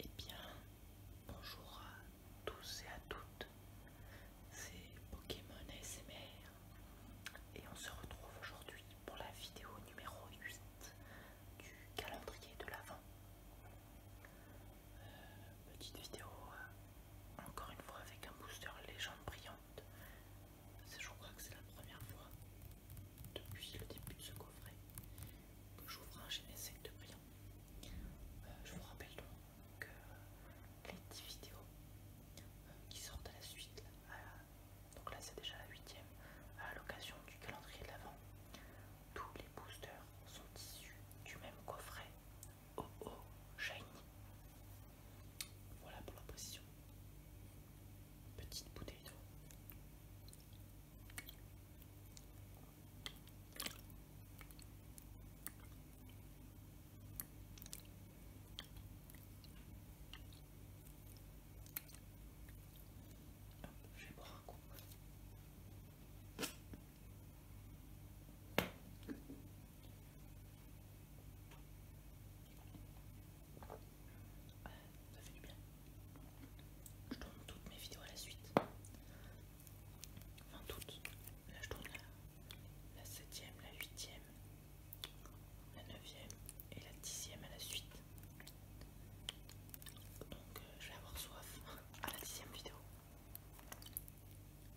Eh bien, bonjour à tous et à toutes, c'est Pokémon ASMR et on se retrouve aujourd'hui pour la vidéo numéro 8 du calendrier de l'Avent. Euh, petite vidéo, euh, encore une fois avec un booster légende brillante, je crois que c'est la première fois depuis le début de ce coffret que un un 7 de brillants. Euh, je vous rappelle donc que les 10 vidéos euh, qui sortent à la suite, donc là c'est déjà la 8 à l'occasion du calendrier de l'Avent, tous les boosters sont issus du même coffret OO oh, oh, Shiny. Voilà pour la position. Petite bouteille d'eau. Je vais boire un coup ça fait du bien. Je tourne toutes mes vidéos à la suite. Enfin toutes. Là je tourne la, 7ème, la 8ème, la 9ème et la 10ème à la suite. Donc euh, je vais avoir soif à la 10ème vidéo.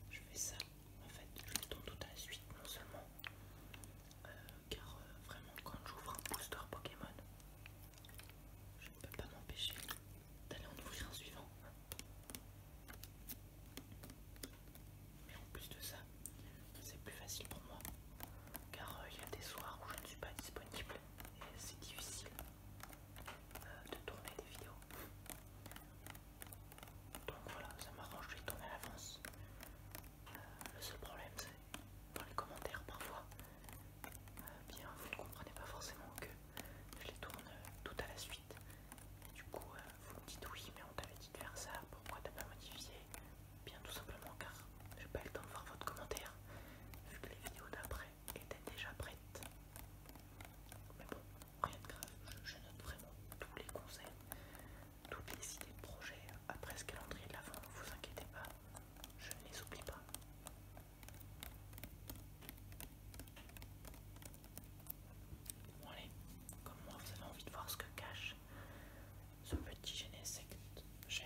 Je fais ça, en fait, je les tourne toutes à la suite, non seulement euh, car euh, vraiment quand j'ouvre un booster Pokémon, je ne peux pas m'empêcher d'aller en ouvrir un suivant. Mais en plus de ça, c'est plus facile pour moi car euh, il y a des soirs où je ne suis pas disponible et c'est difficile de tourner des vidéos. Donc voilà, ça m'arrange, de les tourne à l'avance. Euh, le seul problème, c'est dans les commentaires parfois, euh, bien vous ne comprenez pas forcément que je les tourne euh, tout à la suite. Et du coup, vous me dites oui, mais on t'avait dit de faire ça, pourquoi t'as pas modifié Bien tout simplement car j'ai pas eu le temps de voir votre commentaire, vu que les vidéos d'après étaient déjà prêtes. Mais bon, rien de grave, je, note vraiment tous les conseils, toutes les idées de projet après ce calendrier de l'avant, ne vous inquiétez pas, je ne les oublie pas. Bon allez, comme moi vous avez envie de voir ce que cache ce petit Genesect j'ai...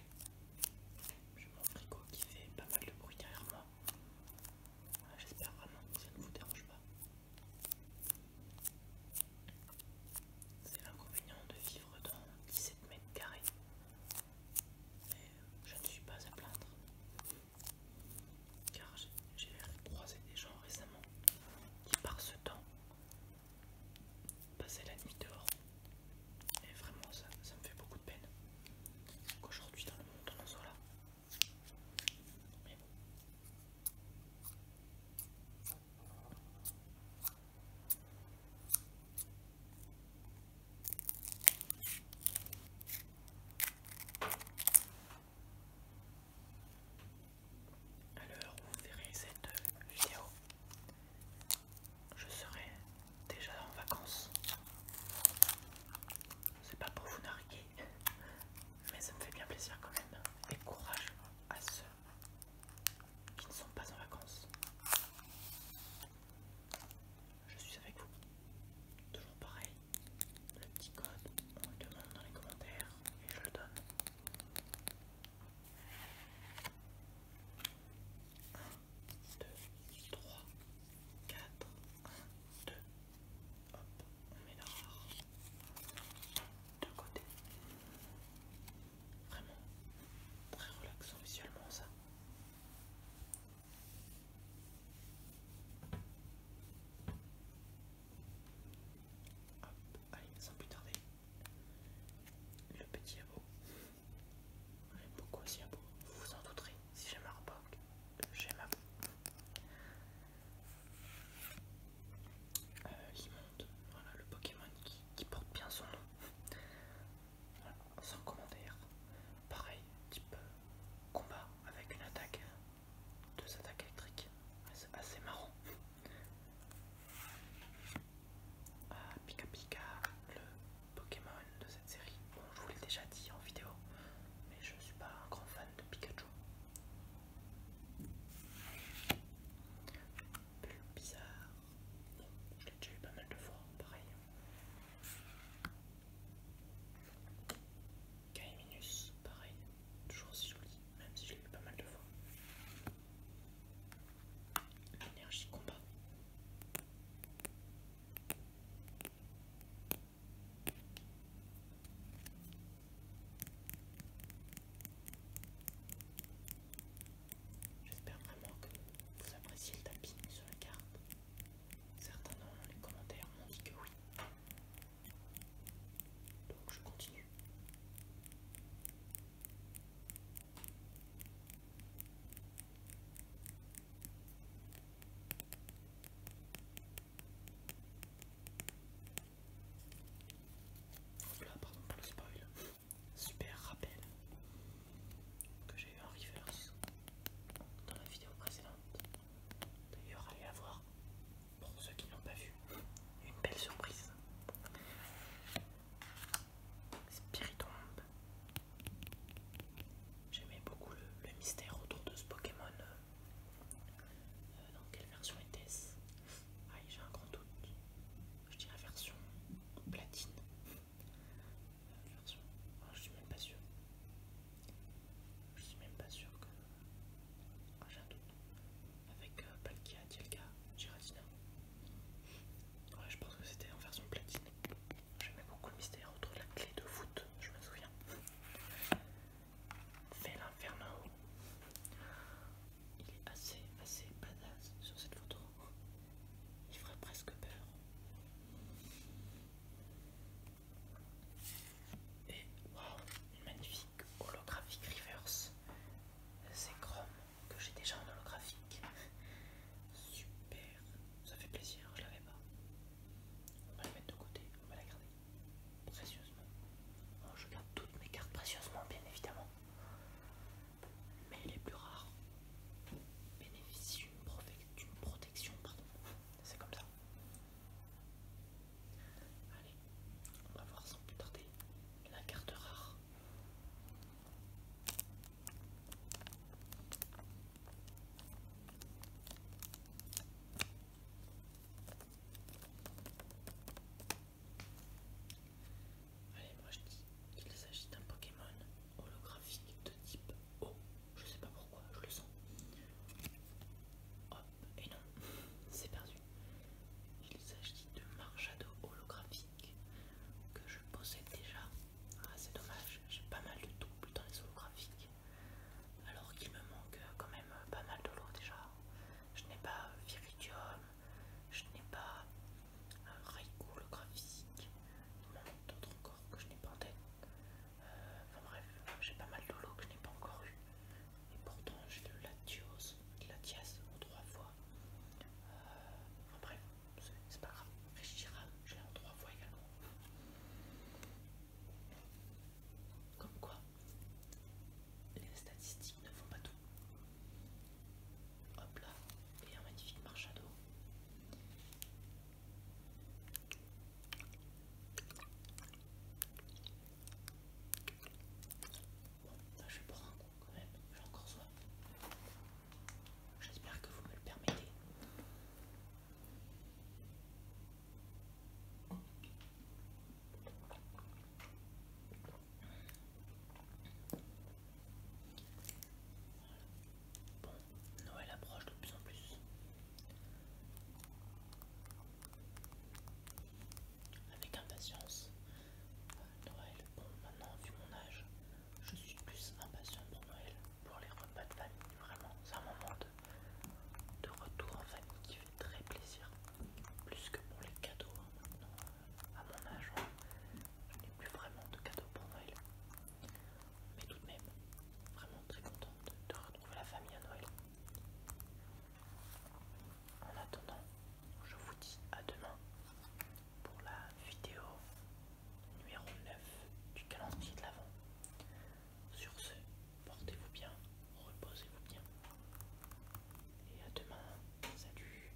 J'ai mon frigo qui fait pas mal de bruit derrière moi. Ah, j'espère vraiment que ça ne vous dérange pas. C'est l'inconvénient de vivre dans 17 mètres carrés. Mais je ne suis pas à plaindre. Car j'ai croisé des gens récemment qui par ce temps passer la nuit dehors. Et vraiment, ça, ça me fait beaucoup de peine qu'aujourd'hui, dans le monde, on en soit là. Mais bon. l'heure où vous verrez cette euh, vidéo, je serai déjà en vacances. C'est pas pour vous narguer, mais ça me fait bien plaisir quand même. Et courage à ceux qui ne sont pas en vacances. Je suis avec vous. Toujours pareil. Le petit code, on le demande dans les commentaires et je le donne. 1, 2, 3, 4, 1, 2, hop, on met barre de côté. Vraiment très relaxant visuellement ça. Hop, allez, sans plus tarder, le petit abo. J'aime beaucoup aussi abo, hein, vous vous en douterez, si j'aime Arbok, j'aime euh, abo. Il monte, voilà le Pokémon qui, porte bien son nom. Voilà, sans commentaire. Pareil, type euh, combat avec une attaque, deux attaques électriques. C'est assez marrant. Ah, Pika Pika, le Pokémon de cette série. Bon, je vous l'ai déjà dit en vidéo, mais je ne suis pas un grand fan de Pikachu. Bizarre. Bon, je l'ai déjà eu pas mal de fois, pareil. Kaiminus pareil, toujours si joli, même si je l'ai eu pas mal de fois. Énergie combat. J'espère vraiment que vous appréciez le tapis sur la carte. Certains dans les commentaires m'ont dit que oui. Donc je continue. Voilà, oh pardon pour le spoil. Super rappel que j'ai eu en reverse dans la vidéo précédente. D'ailleurs, allez la voir, pour ceux qui n'ont pas vu, une belle surprise. Spiritomb. J'aimais beaucoup le, mystère autour de ce Pokémon. Euh, euh, dans quelle version était-ce ah, j'ai un grand doute. Je dirais version platine. Euh, version... Oh, je suis même pas sûr je suis même pas sûr que. Ah, j'ai un doute. Avec euh, Palkia, Dialga, Giratina. Ouais, je pense que c'était en version platine. J'aimais beaucoup le mystère autour la clé de foot. je me souviens. Fait l'inferno. Il est assez, assez badass sur cette photo. Il ferait presque peur. Et waouh, une magnifique holographique reverse. C'est Chrome que j'ai déjà en holographique. Super, ça fait plaisir, je l'avais pas. On va la mettre de côté, on va la garder précieusement. Oh, je garde toutes mes cartes précieusement, bien évidemment. Mais les plus rares bénéficient d'une protection, pardon, c'est comme ça. Allez, on va voir sans plus tarder la carte rare. Allez, moi je dis qu'il s'agit d'un Pokémon holographique de type O, Je sais pas pourquoi, je le sens. Hop, et non, c'est perdu. Il s'agit de Marchado holographique que je possède déjà. Ah, c'est dommage, j'ai pas mal de doubles dans les holographiques. Alors qu'il me manque quand même pas mal de l'eau déjà. Je n'ai pas Viridium, je n'ai pas Raikou holographique. Il manque d'autres encore que je n'ai pas en tête. Euh, enfin bref, j'ai pas mal de que je n'ai pas encore eu. Et pourtant j'ai le la Latias en trois fois. Euh, enfin bref, c'est pas grave. Réchira, je l'ai en trois fois également. Comme quoi, les statistiques ne font pas tout. Hop là, et un magnifique marchado. Bon, là je prends un coup quand même, j'ai encore soif. J'espère que vous me le permettez. Bon, Noël approche de plus en plus. Avec impatience. Euh, Noël, bon maintenant vu mon âge, je suis plus impatient pour Noël, pour les repas de famille, vraiment. C'est un moment de, retour en famille qui fait très plaisir. Plus que pour les cadeaux hein, maintenant à mon âge, hein. je n'ai plus vraiment de cadeaux pour Noël. Mais tout de même, vraiment très contente de, retrouver la famille à Noël. En attendant, je vous dis à demain pour la vidéo numéro 9 du calendrier de l'Avent. Sur ce, portez-vous bien, reposez-vous bien. Et à demain, salut